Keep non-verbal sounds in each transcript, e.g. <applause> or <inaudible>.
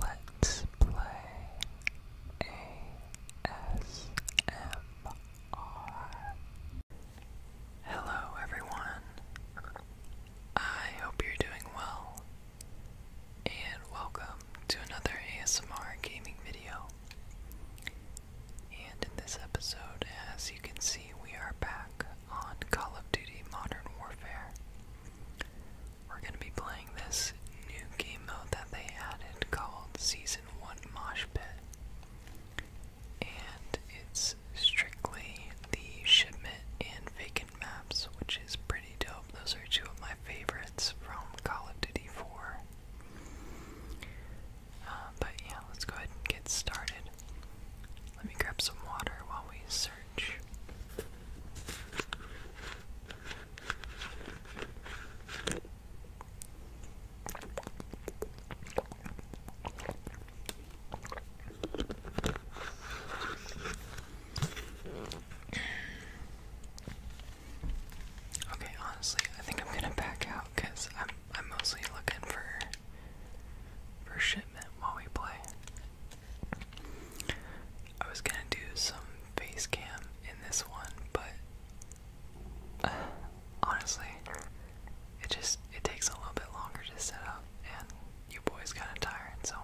Let's play ASMR. Hello, everyone. I hope you're doing well, and welcome to another ASMR gaming video. And in this episode, as you can see, we are back on Call of Duty Modern Warfare. We're going to be playing this new game mode that they added called Season 1 Mosh Pit. And it's strictly the shipment and vacant maps, which is pretty dope. Those are two of my favorites from Call of Duty 4. Uh, but yeah, let's go ahead and get started. Let me grab some water while we search. Okay, honestly, I think I'm gonna back out because I'm I'm mostly looking for for shipment while we play. I was gonna do some face cam in this one, but <sighs> honestly, it just it takes a little bit longer to set up, and you boys kind of tired. So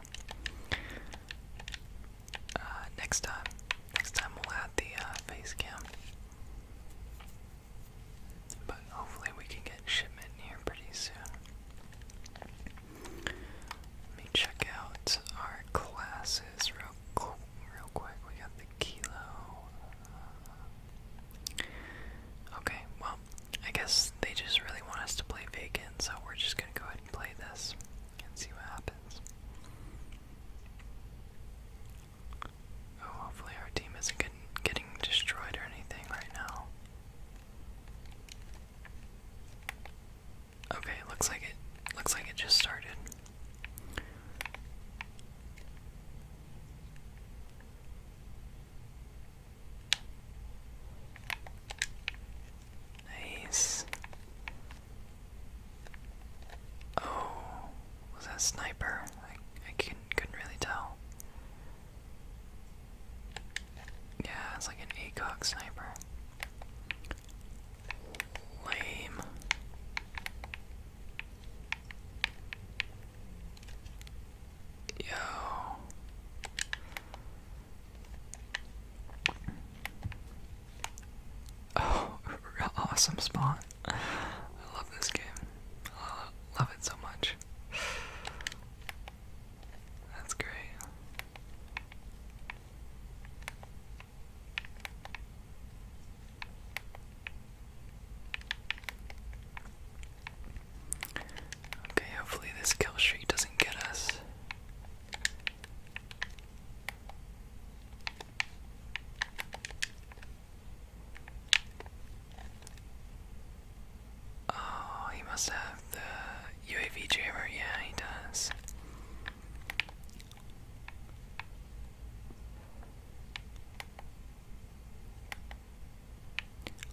uh, next time, next time we'll add the uh, face cam. But hopefully we can get shipment here pretty soon. Let me check out our classes real Real quick, we got the kilo. Uh, okay, well, I guess they just really want us to play vacant, so we're just gonna go ahead and play this and see what happens. Oh, hopefully our team isn't getting destroyed or anything right now. Okay, looks like it looks like it just started. Nice. Oh, was that sniper? I I couldn't couldn't really tell. Yeah, it's like an ACOG sniper. Lame. Yo. <laughs> Oh, <laughs> awesome spawn. I love this game. love it so much. That's great. Okay, hopefully this kill streak doesn't get us. Oh, he must have the UAV jammer. Yeah, he does.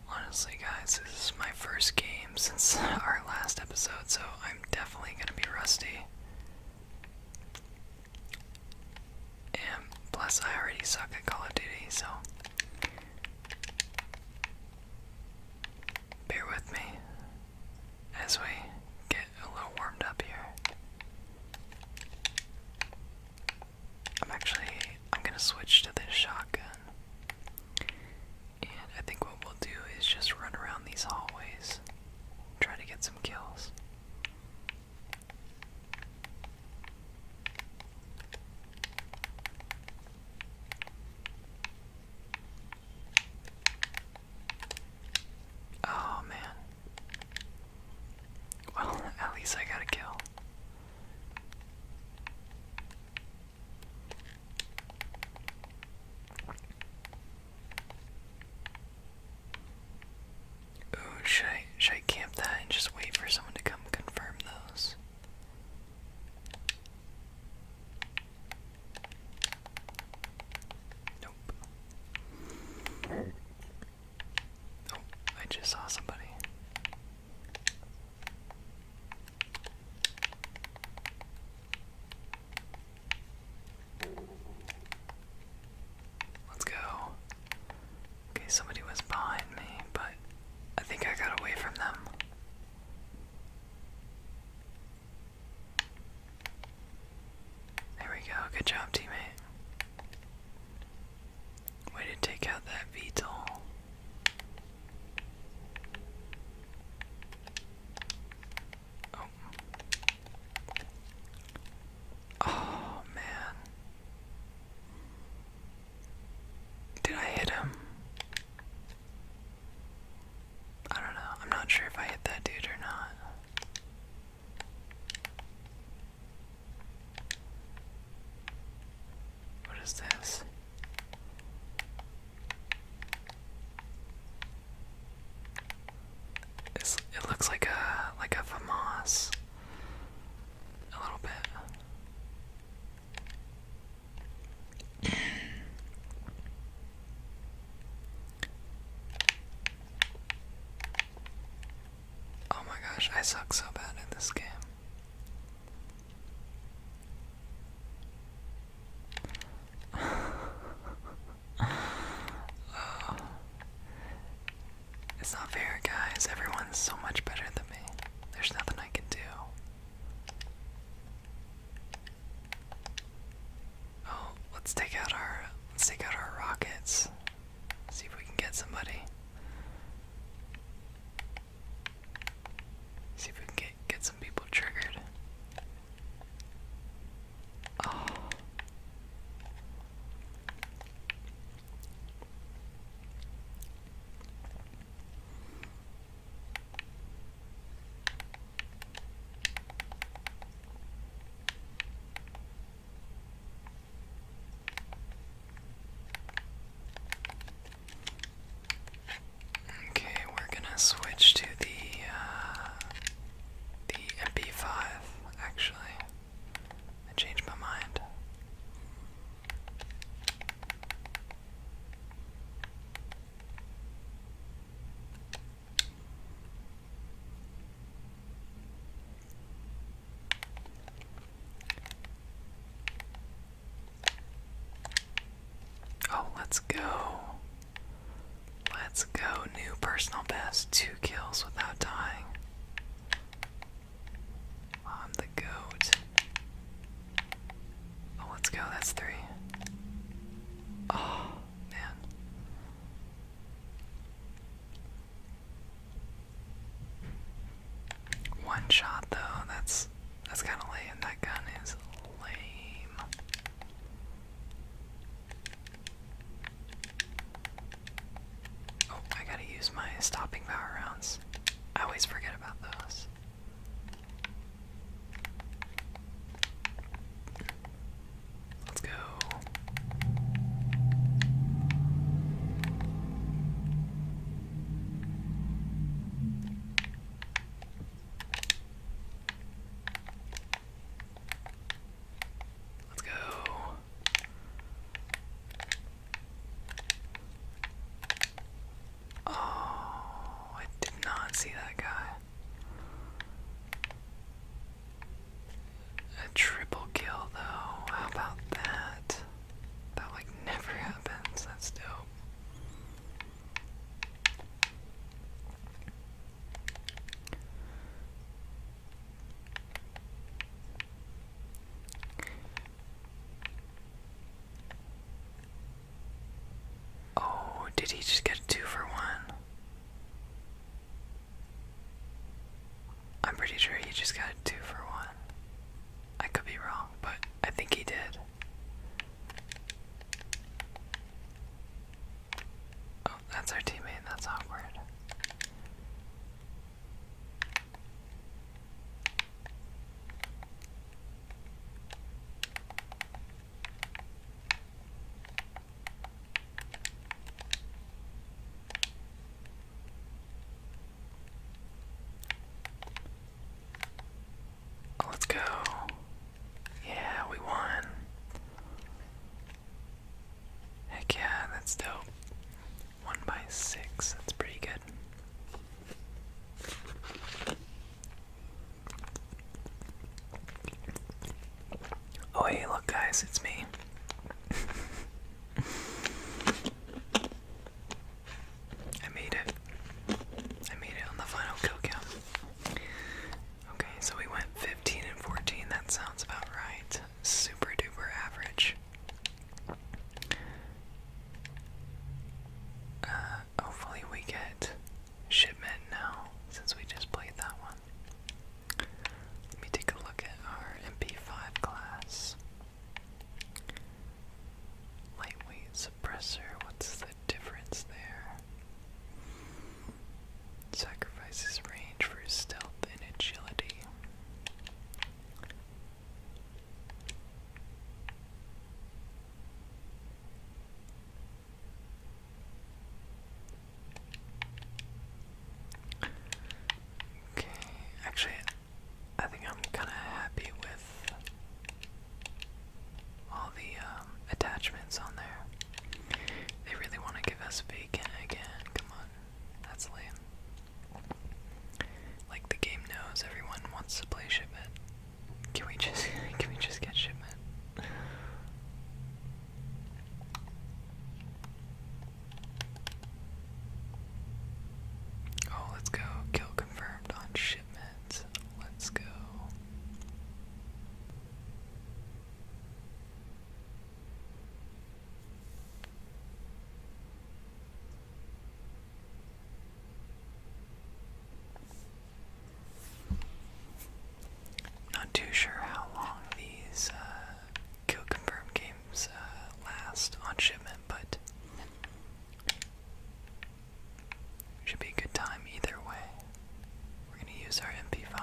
Honestly, guys, this is my first game since <laughs> our last episode, so I'm definitely going to be rusty. And plus, I already suck at Call of Duty, so Bear with me as we get a little warmed up here. I'm actually I'm gonna switch to this shotgun. And I think what we'll do is just run around these hallways. Try to get some kills. Oh man. Well, <laughs> at least I got a kill. should I, should I camp that and just wait for someone to come confirm those? Nope. Oh, I just saw somebody. Let's go. Okay, somebody was behind me, but I think I got away from them. There we go. Good job, teammate. Way to take out that VTOL. Oh. Oh man. Did I hit him? I don't know. I'm not sure if I hit that dude or not. What is this? it looks like a like a FAMAS a little bit. oh my gosh, I suck so bad at this game. <laughs> Oh. It's not fair, guys. Everyone's so much better than me. There's nothing I can do. Oh, let's take out our let's take out our rockets. See if we can get somebody. See if we can get get some people triggered. Oh. Okay, we're gonna switch to the uh, the MP5 actually. I changed my mind. Oh, let's go. Let's go. New personal best. Two kills without dying. I'm the goat. Oh, let's go. That's three. Oh, man. One shot though. That's that's kind of lame. That gun is lame. Oh, I gotta use my stopping power rounds. I always forget about those. Let's go. Let's go. Oh, I did not see that guy. A triple kill, though. How about that? That, like, never <laughs> happens. That's dope. Oh, did he just get a two for one? I'm pretty sure he just got a two for one. I could be wrong, but I think he did. Oh, that's our teammate, that's awkward. Let's go. Yeah, we won. Heck yeah, that's dope. One by six, that's pretty good. Oh hey, look guys, it's me. <laughs> I made it. I made it on the final kill count. Okay, so we went 15 and 14. That sounds about right super duper average. Uh, hopefully, we get shipment now since we just played that one. Let me take a look at our MP5 class. Lightweight suppressor, what's the difference there? Sacrifices range for stealth and agility. Okay, actually, I think I'm kind of happy with all the um, attachments on there. They really want to give us bacon again. Come on. That's lame. Like the game knows everyone wants to play shipment. Can we just <laughs> can we just get shipment? Oh, let's go. Kill confirmed on shipment. Let's go. Not too sure how long these uh, kill confirm games uh, last on shipment, but should be a good time either way. We're going to use our MP5.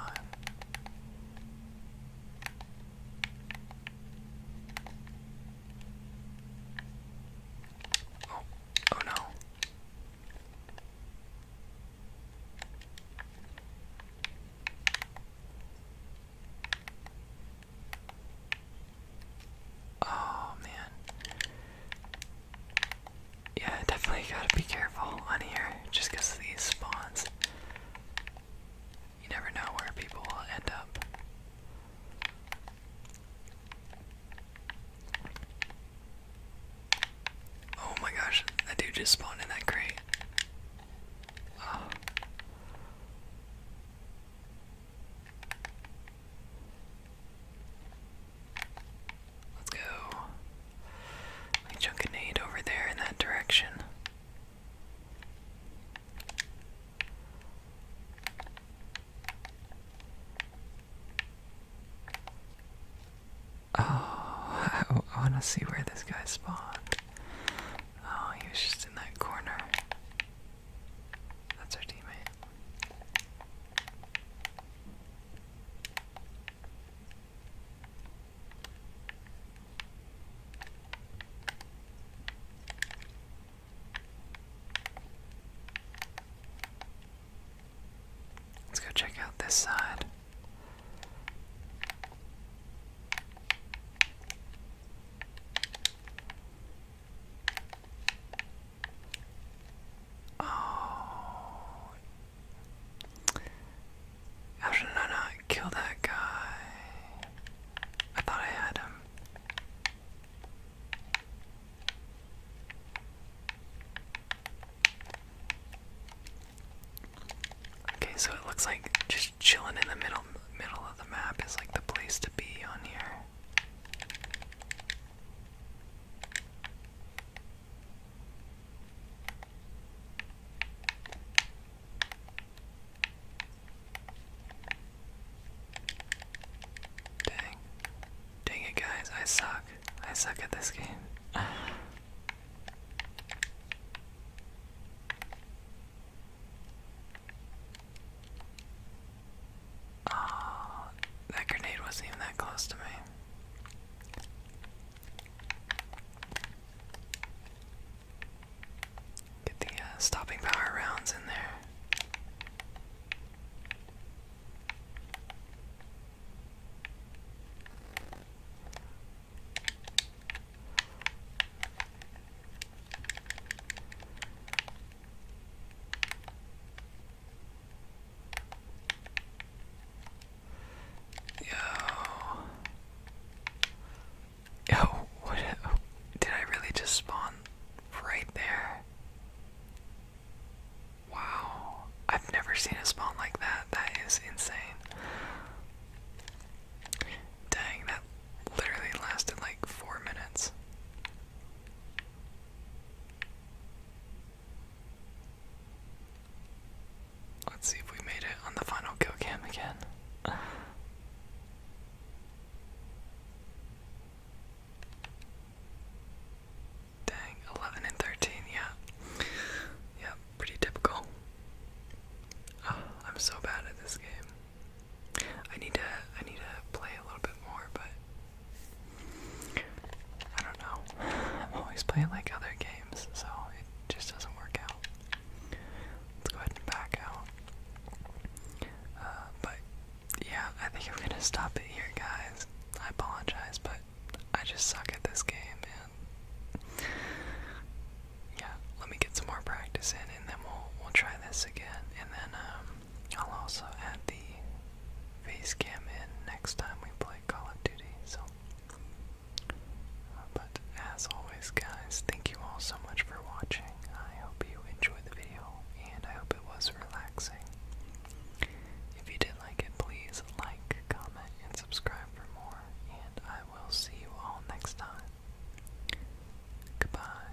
Oh, no. Oh man. Yeah, definitely gotta be careful on here just because these spawns. You never know where people will end up. Oh my gosh, that dude just spawned in that crate. Let's go. Let me chunk a nade over there in that direction. Oh, <laughs> I, I want to see where this guy spawned. Oh, he was just in that corner. That's our teammate. Let's go check out this side. Oh, how should I not kill that guy? I thought I had him. Okay, so it looks like just chilling in the middle middle of the map is like the place to be on here. Dang. Dang it, guys. I suck. I suck at this game. Oh, <sighs> that grenade wasn't even that close to me. Get the uh, stopping power rounds in there. Yo. Yo, what did I really just spawn right there? Wow. I've never seen a spawn like that. That is insane. Dang, that literally lasted like four minutes. Let's see if we made it on the final kill cam again. Dang, 11 and 13, yeah. Yeah, pretty typical. Ah, I'm so bad at this game. I need to I need to play a little bit more, but I don't know. I'm always playing like other games, so it just doesn't work out. Let's go ahead and back out. Uh, but yeah, I think I'm gonna stop it here, guys. I apologize, but I just suck at this game, and yeah, let me get some more practice in, and then we'll we'll try this again, and then um, I'll also add the face cam in next time we play. Call of Duty, so. Uh, but as always, guys, thank you all so much for watching. I hope you enjoyed the video, and I hope it was relaxing. If you did like it, please like, comment, and subscribe for more, and I will see you all next time. Goodbye.